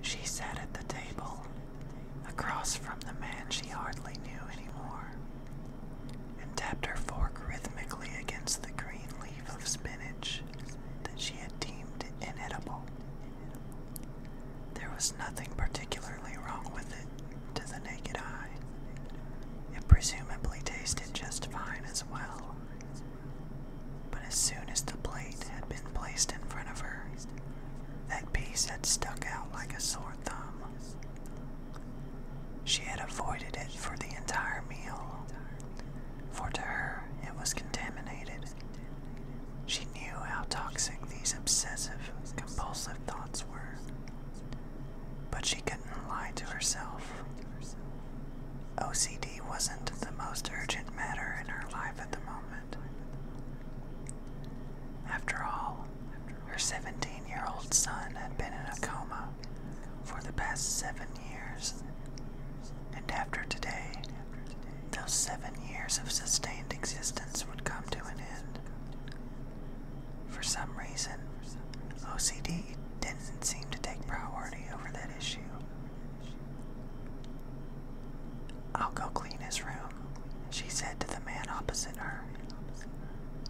She sat at the table, across from the man she hardly knew anymore, and tapped her fork rhythmically against the green leaf of spinach that she had deemed inedible. There was nothing particularly wrong with it to the naked eye. It presumably tasted just fine as well, but as soon as the plate had been placed in front of her, that piece had stuck out like a sore thumb. She had avoided it for the entire meal, for to her it was contaminated. She knew how toxic these obsessive, compulsive thoughts were, but she couldn't lie to herself. OCD wasn't the most urgent matter in her life at the moment. After all, her 17 year old son had been in a coma for the past seven years, and after today, those seven years of sustained existence would come to an end. For some reason, OCD didn't seem to take priority over that issue. I'll go clean his room, she said to the man opposite her.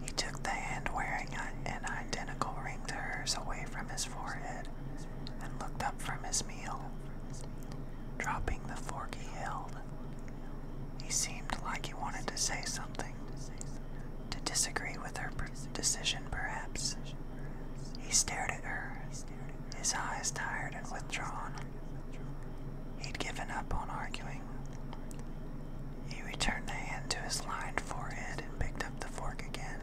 He took the hand wearing an identical ring to hers away from his forehead and looked up from his meal, dropping the fork he held. He seemed like he wanted to say something, to disagree with her decision perhaps. He stared at her, his eyes tired and withdrawn. He'd given up on arguing. He returned the hand to his lined forehead and picked up the fork again.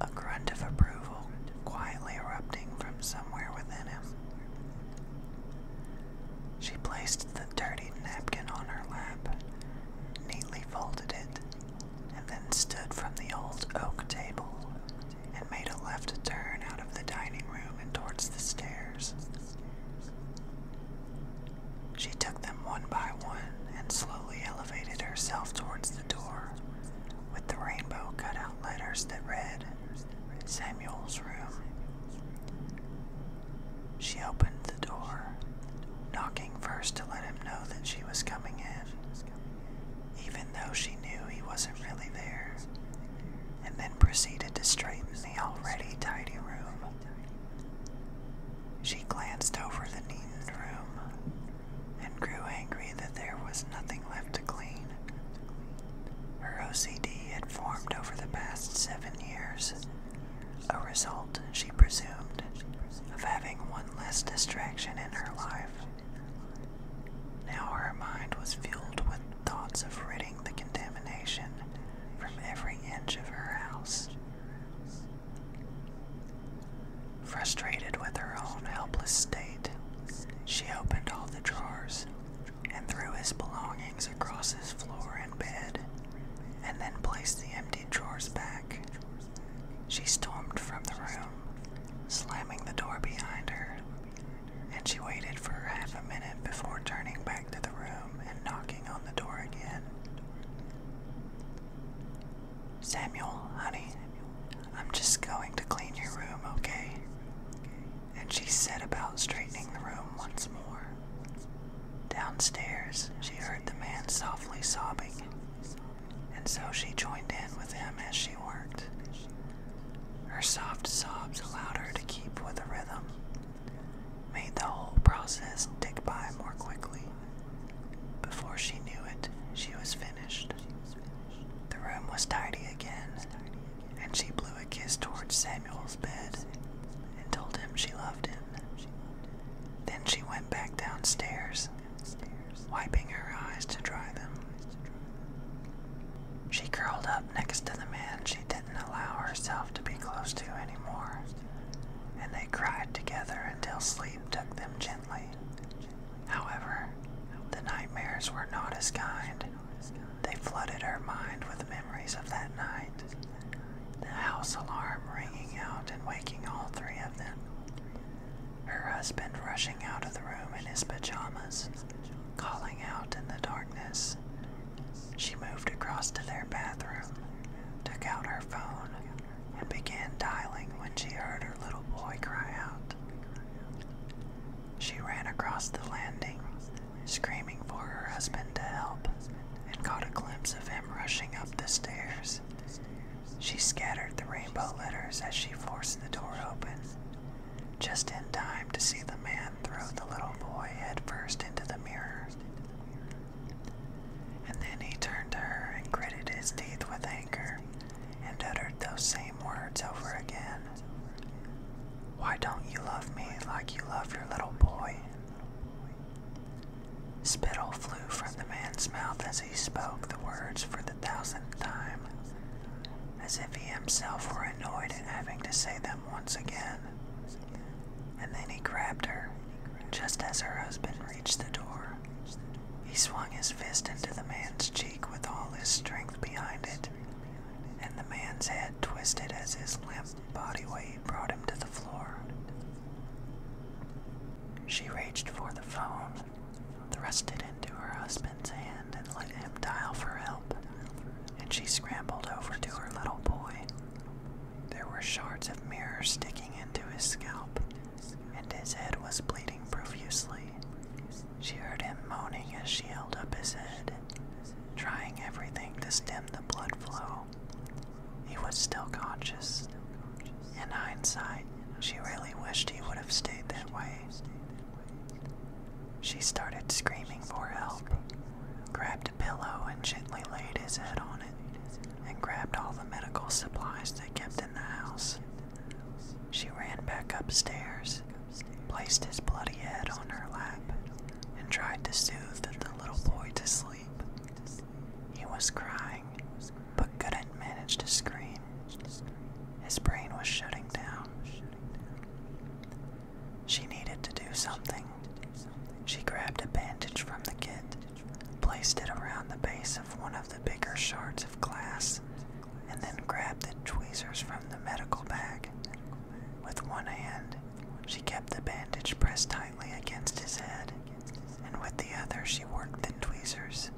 A grunt of approval quietly erupting from somewhere within him. She placed the dirty napkin on her lap, neatly folded it, and then stood from the old oak table and made a left turn out of the dining room and towards the stairs. She took them one by one and slowly elevated herself towards the door with the rainbow cut out letters that read Samuel's room. She opened the door, knocking first to let him know that she was coming in even though she knew he wasn't really there, and then proceeded to straighten the already tidy room. She glanced over the neatened room and grew angry that there was nothing left to clean. Her OCD had formed over the past seven years, a result, she presumed, of having one less distraction in her life. Now her mind was filled with thoughts of ridding the contamination from every inch of her house. Frustrated with her own helpless state, she opened all the drawers and threw his belongings across his floor and bed, and then placed the empty drawers back. She stormed from the room, slamming the door behind her, and she waited for half a minute before turning back to the room and knocking on the door again. Samuel, honey, I'm just going to clean your room, okay? And she set about straightening the room once more. Downstairs, she heard the man softly sobbing and so she joined in with him as she worked. Her soft sobs allowed her to keep with the rhythm, made the whole process tick by more quickly. Before she knew it, she was finished. The room was tidy again, and she blew a kiss towards Samuel's bed and told him she loved him. Then she went back downstairs wiping her eyes to dry them. She curled up next to the man she didn't allow herself to be close to anymore, and they cried together until sleep took them gently. However, the nightmares were not as kind. They flooded her mind with memories of that night, the house alarm ringing out and waking all three of them her husband rushing out of the room in his pajamas, calling out in the darkness. She moved across to their bathroom, took out her phone, and began dialing when she heard her little boy cry out. She ran across the landing, screaming for her husband to help, and caught a glimpse of him rushing up the stairs. She scattered the rainbow letters as she forced the door open, just in time to see the man throw the little boy headfirst into the mirror. And then he turned to her and gritted his teeth with anger and uttered those same words over again. Why don't you love me like you love your little boy? Spittle flew from the man's mouth as he spoke the words for the thousandth time, as if he himself were annoyed at having to say them once again. And then he grabbed her, just as her husband reached the door. He swung his fist into the man's cheek with all his strength behind it, and the man's head twisted as his limp body weight brought him to the floor. She reached for the phone, thrust it into her husband's hand and let him dial for help, and she scrambled over to her little boy. There were shards of mirror sticking into his scalp, and his head was bleeding profusely. She heard him moaning as she held up his head, trying everything to stem the blood flow. He was still conscious. In hindsight, she really wished he would have stayed that way. She started screaming for help, grabbed a pillow and gently laid his head on it, and grabbed all the medical supplies they kept in the house. She ran back upstairs, placed his bloody head on her lap, and tried to soothe the little boy to sleep. He was crying, but couldn't manage to scream. His brain was shutting down. She needed to do something. She grabbed a bandage from the kit, placed it around the base of one of the bigger shards of glass, and then grabbed the tweezers from the medical bag. With one hand, she kept the bandage pressed tightly against his head, and with the other, she worked the tweezers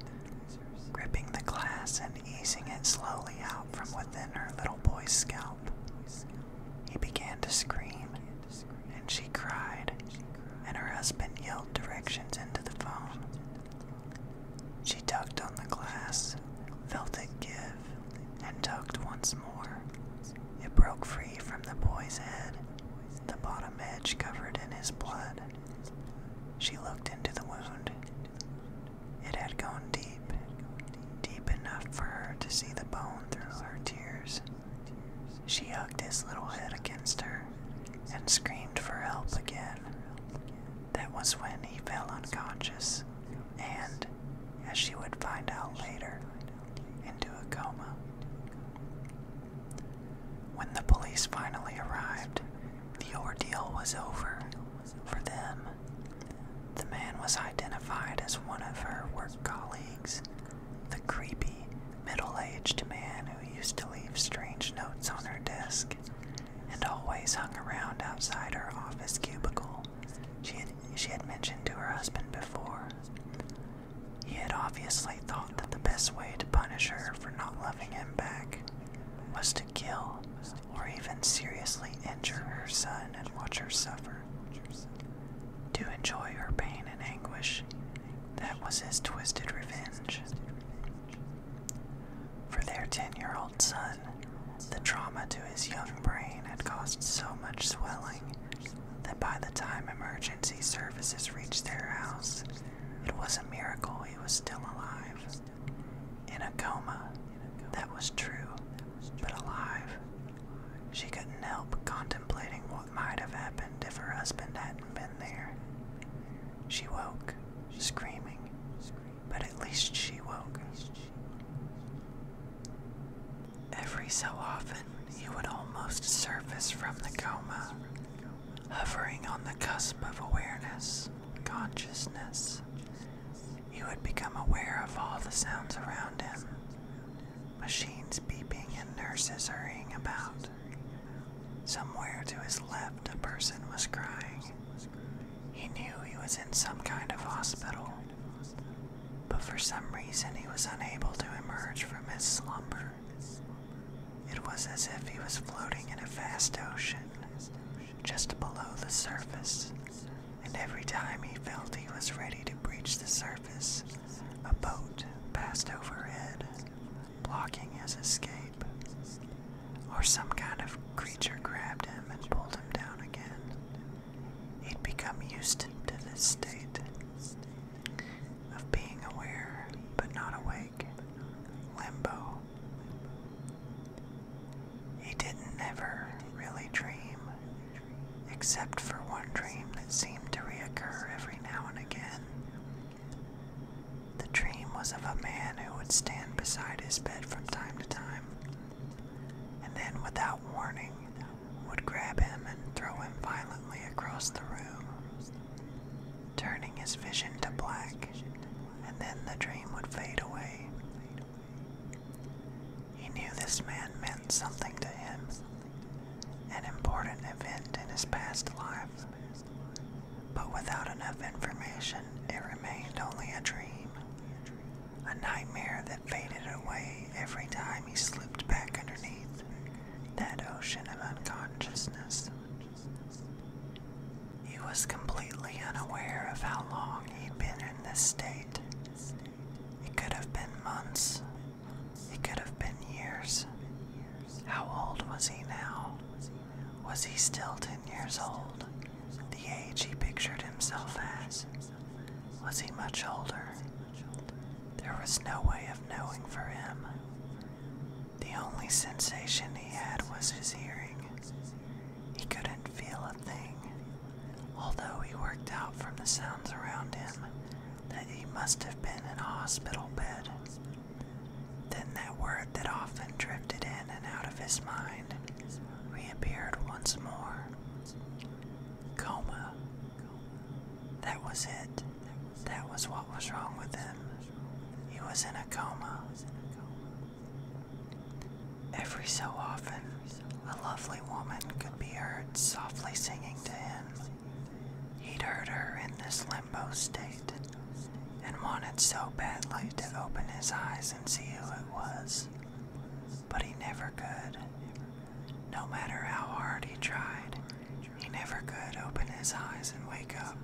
gripping the glass and easing it slowly out from within her little boy's scalp. He began to scream, and she cried, and her husband yelled directions into the phone. She tugged on the glass, felt it give, and tugged once more. It broke free from the boy's head, the bottom edge covered in his blood. She looked into the wound. It had gone deep, deep enough for her to see the bone through her tears. She hugged his little head against her and screamed for help again. That was when he fell unconscious and, as she would find out later, into a coma. When the police finally arrived, the ordeal was over for them. The man was identified as one of her work colleagues, the creepy, middle aged man who used to leave strange notes on her desk and always hung around outside her office cubicle. She had, she had mentioned to her husband before. He had obviously thought that the best way to punish her for not loving him back was kill or even seriously injure her son and watch her suffer, to enjoy her pain and anguish. That was his twisted revenge. For their ten year old son, the trauma to his young brain had caused so much swelling that by the time emergency services reached their house, it was a miracle he was still alive. In a coma that was true, but alive. She couldn't help contemplating what might have happened if her husband hadn't been there. She woke, screaming, but at least she woke. Every so often, he would almost surface from the coma, hovering on the cusp of awareness consciousness, he would become aware of all the sounds around him machines beeping and nurses hurrying about. Somewhere to his left, a person was crying. He knew he was in some kind of hospital, but for some reason he was unable to emerge from his slumber. It was as if he was floating in a vast ocean, just below the surface, and every time he felt he was ready to breach the surface, a boat passed overhead, blocking his escape. Or some kind of creature grabbed him and pulled him down again. He'd become used to this state of being aware but not awake, limbo, he didn't ever really dream, except for one dream that seemed to reoccur every now and again. The dream was of a man who would stand beside his bed from time to time, and then without warning would grab him and throw him violently across the room turning his vision to black, and then the dream would fade away. He knew this man meant something to him, an important event in his past life, but without enough information, it remained only a dream, a nightmare that faded away every time he slipped back underneath that ocean of unconsciousness. He was completely unaware of how long he'd been in this state. It could have been months. It could have been years. How old was he now? Was he still ten years old? The age he pictured himself as? Was he much older? There was no way of knowing for him. The only sensation he had was his hearing. He couldn't feel a thing, although he worked out from the sounds around him that he must have been in a hospital bed. Then that word that often drifted in and out of his mind reappeared once more. Coma. That was it. That was what was wrong with him. He was in a coma. Every so often, a lovely woman could be heard softly singing to him. He'd heard her in this limbo state and wanted so badly to open his eyes and see who it was, but he never could. No matter how hard he tried, he never could open his eyes and wake up.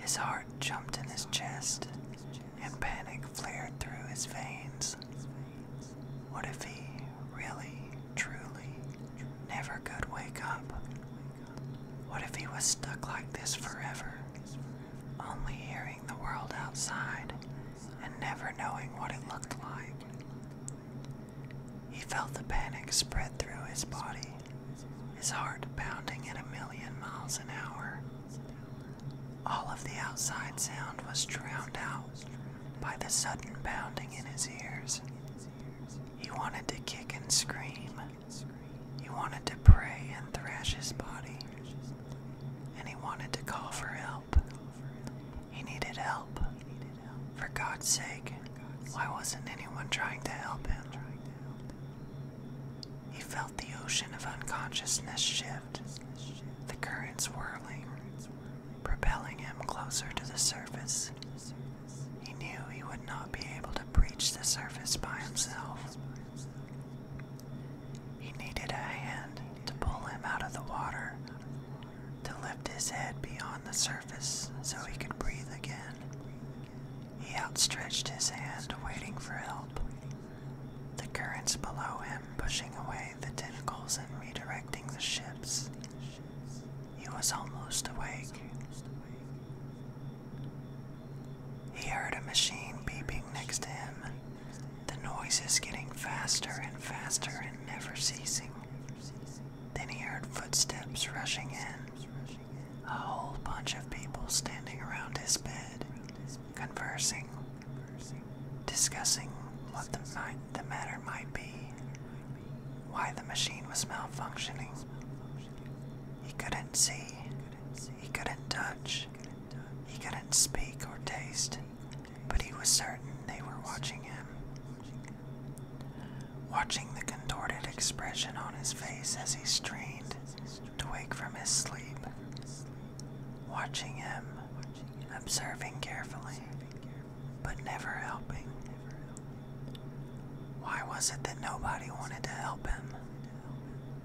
His heart jumped in his chest, and panic flared through his veins. What if he really, truly, never could wake up? What if he was stuck like this forever, only hearing the world outside and never knowing what it looked like? He felt the panic spread through his body his heart pounding at a million miles an hour. All of the outside sound was drowned out by the sudden pounding in his ears. He wanted to kick and scream. He wanted to pray and thrash his body. And he wanted to call for help. He needed help. For God's sake, why wasn't anyone trying to help him? He felt the ocean of unconsciousness shift, the currents swirling, propelling him closer to the surface. He knew he would not be able to breach the surface by himself. He needed a hand to pull him out of the water, to lift his head beyond the surface so he could breathe again. He outstretched his hand, waiting for help. The currents below him pushing away the tentacles and redirecting the ships. He was almost awake. He heard a machine beeping next to him, the noises getting faster and faster and never ceasing. Then he heard footsteps rushing in a whole bunch of people standing around his bed, conversing, discussing what the, matter might be, why the machine was malfunctioning. He couldn't see, he couldn't touch, he couldn't speak or taste, but he was certain they were watching him. Watching the contorted expression on his face as he strained to wake from his sleep, watching him, observing carefully, but never helping. Why was it that nobody wanted to help him?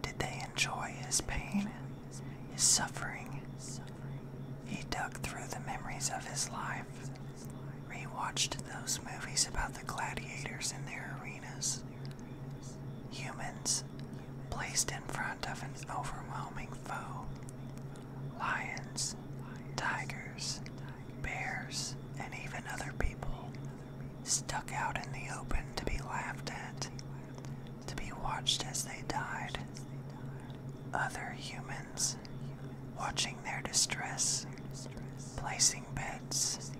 Did they enjoy his pain, his suffering? He dug through the memories of his life, rewatched those movies about the gladiators in their arenas, Humans placed in front of an overwhelming foe. Lions, tigers, bears, and even other people stuck out in the open to be laughed at, to be watched as they died. Other humans watching their distress, placing bets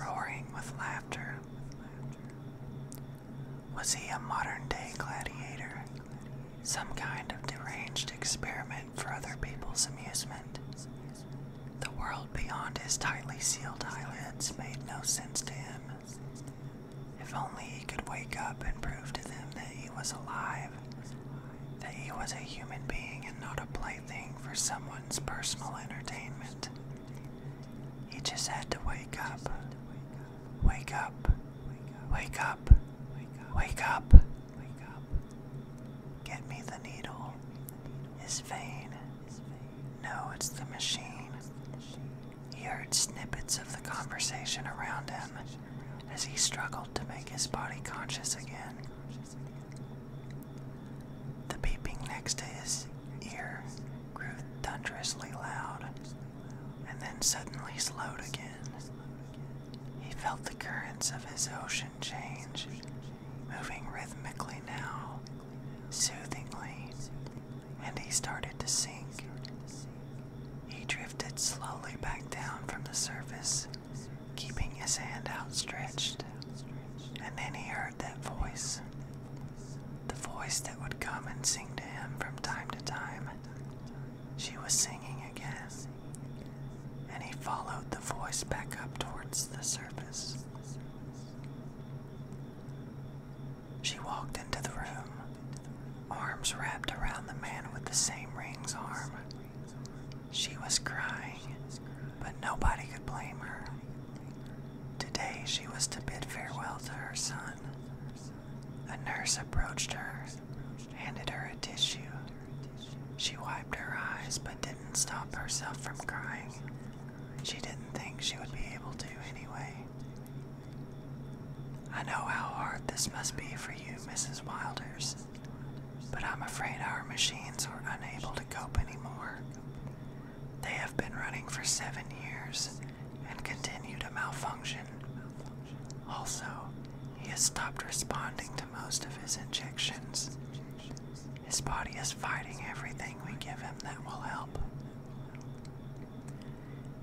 roaring with laughter. Was he a modern day gladiator? Some kind of deranged experiment for other people's amusement? The world beyond his tightly sealed eyelids made no sense to him. If only he could wake up and prove to them that he was alive, that he was a human being and not a player plaything for someone's personal entertainment. He just had to wake up. Wake up. Wake up. Wake up. Get me the needle. His vein. No, it's the machine. He heard snippets of the conversation around him as he struggled to make his body conscious again. The beeping next to his ear grew thunderously loud and then suddenly slowed again. He felt the currents of his ocean change, moving rhythmically now, soothingly, and he started to sink. He drifted slowly back down from the surface, keeping his hand outstretched. And then he heard that voice, the voice that would come and sing to him from time to time. She was singing again, and he followed the voice back up towards the surface. She walked into the room, arms wrapped around the man with the same ring's arm. She was crying, but nobody could blame her. Today she was to bid farewell to her son. A nurse approached her, handed her a tissue. She wiped her eyes but didn't stop herself from crying. She didn't think she would be able to anyway. I know how hard this must be for you, Mrs. Wilders, but I'm afraid our machines are unable to cope anymore. They have been running for seven years and continue to malfunction. Also, he has stopped responding to most of his injections. His body is fighting everything we give him that will help.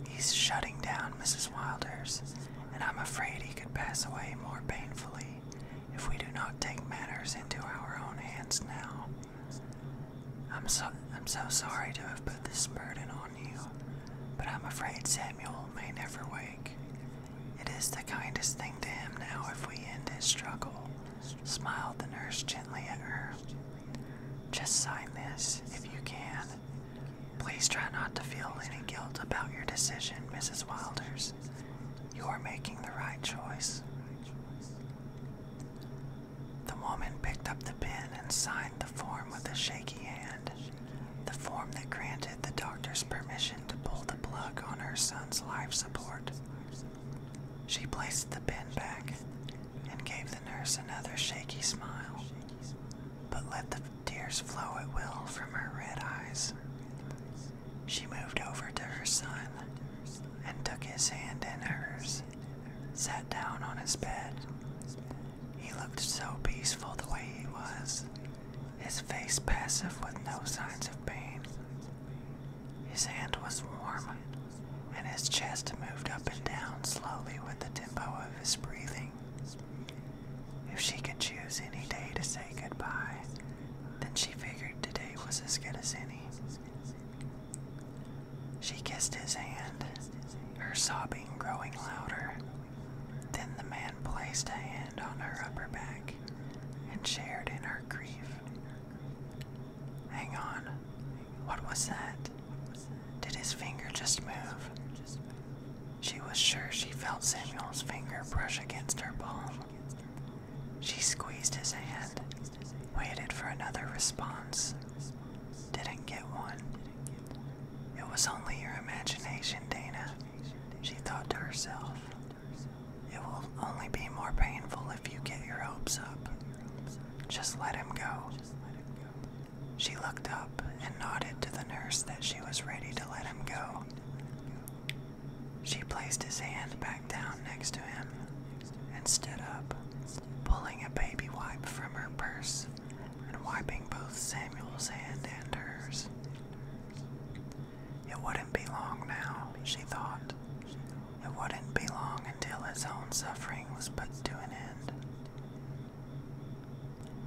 He's shutting down Mrs. Wilder's, and I'm afraid he could pass away more painfully if we do not take matters into our own hands now. I'm so, I'm so sorry to have put this burden on you, but I'm afraid Samuel may never wake. It is the kindest thing to him now if we end his struggle, smiled the nurse gently at her. Just sign this if you can. Please try not to feel any guilt about your decision, Mrs. Wilders. You are making the right choice. The woman picked up the pen and signed the form with a shaky hand, the form that granted the doctor's permission to pull the plug on her son's life support. She placed the pen back and gave the nurse another shaky smile, but let the tears flow at will from her red eyes. She moved over to her son and took his hand in hers, sat down on his bed. He looked so peaceful the way he was, his face passive with no signs of pain. His hand was warm, and his chest moved up and down slowly with the tempo of his breathing. If she could choose any day to say goodbye, then she figured today was as good as any. She kissed his hand, her sobbing growing louder. Then the man placed a hand on her upper back and shared in her grief. Hang on, what was that? Did his finger just move? She was sure she felt Samuel's finger brush against her palm. She squeezed his hand, waited for another response, didn't get one. It was only your imagination, Dana, she thought to herself. It will only be more painful if you get your hopes up. Just let him go. She looked up and nodded to the nurse that she was ready to let him go. She placed his hand back down next to him and stood up, pulling a baby wipe from her purse and wiping both Samuel's hand and hers. It wouldn't be long now, she thought. It wouldn't be long until his own suffering was put to an end.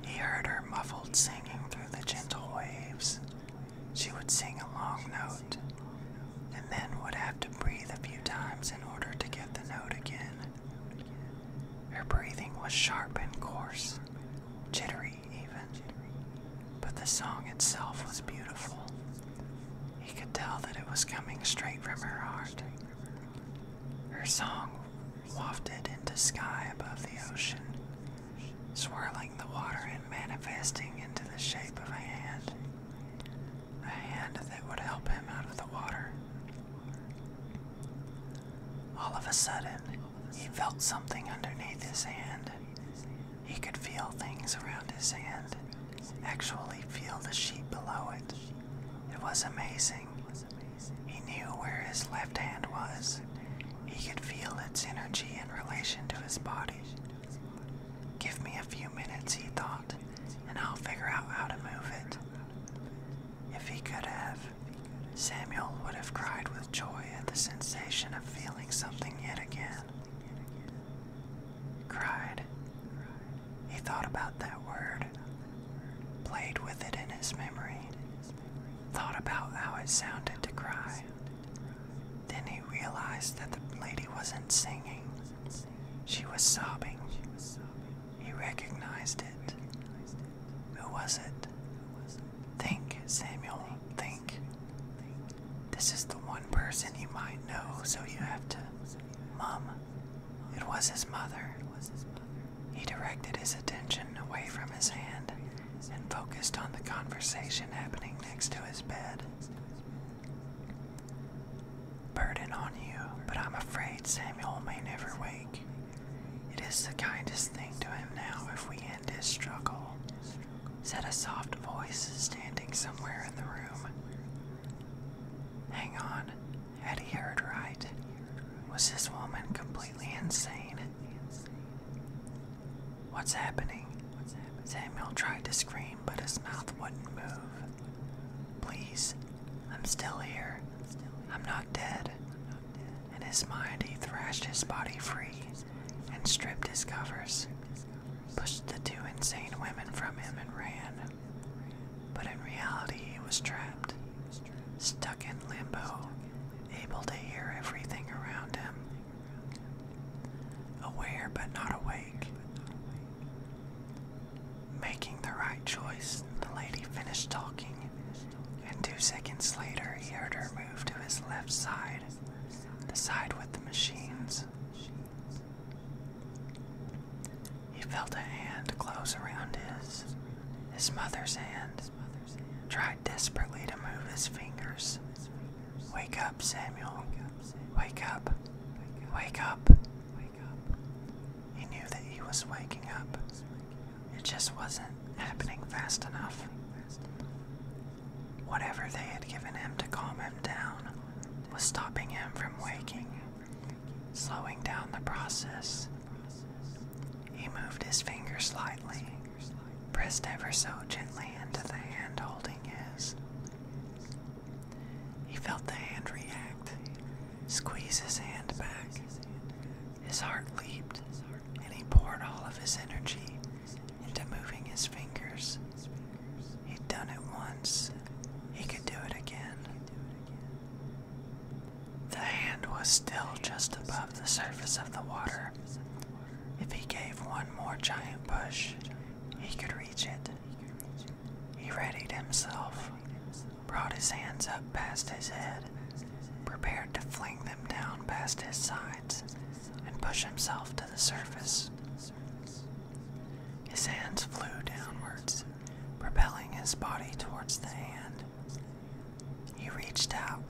He heard her muffled singing through the gentle waves she would sing a long note, and then would have to breathe a few times in order to get the note again. Her breathing was sharp and coarse, jittery even, but the song itself was beautiful. He could tell that it was coming straight from her heart. Her song wafted into sky above the ocean, swirling the water and manifesting into the shape of a hand a hand that would help him out of the water. All of a sudden, he felt something underneath his hand. He could feel things around his hand, actually, feel the sheet below it. It was amazing. He knew where his left hand was. He could feel its energy in relation to his body. Give me a few minutes, he thought, and I'll figure out how to move it. If he could have, Samuel would have cried with joy at the sensation of feeling something yet again. Cried. He thought about that word, played with it in his memory, thought about how it sounded to cry, then he realized that the lady wasn't singing, she was sobbing. He recognized it. Who was it? Think, Samuel, think. This is the one person you might know, so you have to. Mum, it was his mother. He directed his attention away from his hand and focused on the conversation happening next to his bed burden on you, but I'm afraid Samuel may never wake. It is the kindest thing to him now if we end his struggle, said a soft voice standing somewhere in the room. Hang on, had he heard right? Was this woman completely insane? What's happening? What's happening? Samuel tried to scream, but his mouth wouldn't move. Please, I'm still here. I'm not dead. In his mind, he thrashed his body free and stripped his covers, pushed the two insane women from him, and ran. But in reality, he was trapped, stuck in limbo, able to hear everything around him, aware but not awake. Making the right choice, the lady finished talking, and two seconds later he heard her move to his left side, the side with the machines. He felt a hand close around his, his mother's hand, tried desperately to move his fingers, Wake up, Samuel. Wake up. Wake up. He knew that he was waking up. It just wasn't happening fast enough. Whatever they had given him to calm him down was stopping him from waking, slowing down the process. He moved his finger slightly, pressed ever so gently into the hand holding his. He felt the hand react, squeeze his hand back. His heart leaped, and he poured all of his energy into moving his fingers. He'd done it once, he could do it again. The hand was still just above the surface of the water, if he gave one more giant push, he could reach it. He readied himself, brought his hands up past his head, prepared to fling them down past his sides, and push himself to the surface. His hands flew downwards, propelling his body towards the hand. He reached out,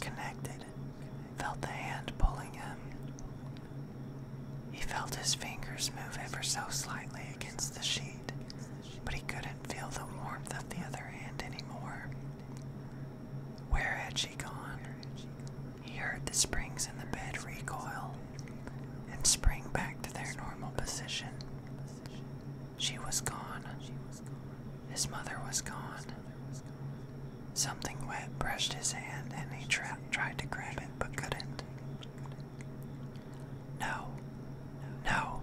connected, felt the hand pulling him. He felt his fingers move ever so slightly against the sheet, but he couldn't feel the warmth of the other hand anymore. Where had she gone? He heard the springs in the bed recoil and spring back to their normal position. She was gone. His mother was gone. Something wet brushed his hand and he tried to grab it but couldn't. No, no,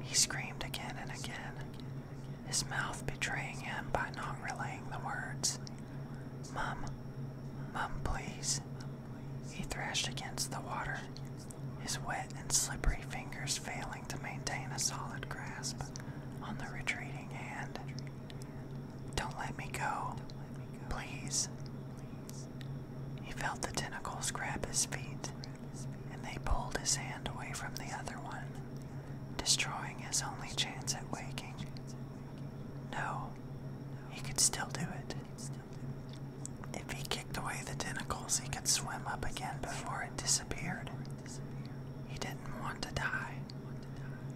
he screamed again and again, his mouth betraying him by not relaying the words. Mum, Mum, please. He thrashed against the water, his wet and slippery fingers failing to maintain a solid grasp on the retreating hand. Don't let me go, please. He felt the tentacles grab his feet, and they pulled his hand away from the other one, destroying his only chance at waking. No, he could still do it. If he kicked away the tentacles, he could swim up again before it disappeared. He didn't want to die.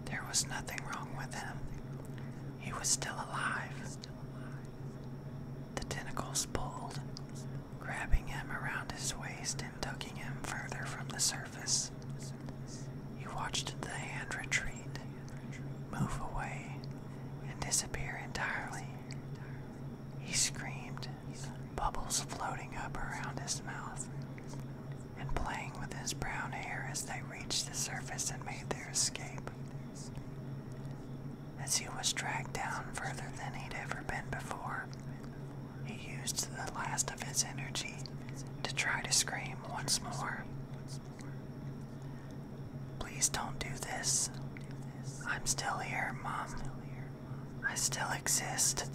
There was nothing wrong with him. He was still alive. The tentacles pulled, grabbing him around his waist and tugging him further from the surface. He watched the hand retreat, move away, and disappear entirely. He screamed, bubbles floating up around his mouth and playing with his brown hair as they reached the surface and made their escape. As he was dragged down further than he'd ever been before, he used the last of his energy to try to scream once more. Please don't do this. I'm still here, Mom. I still exist.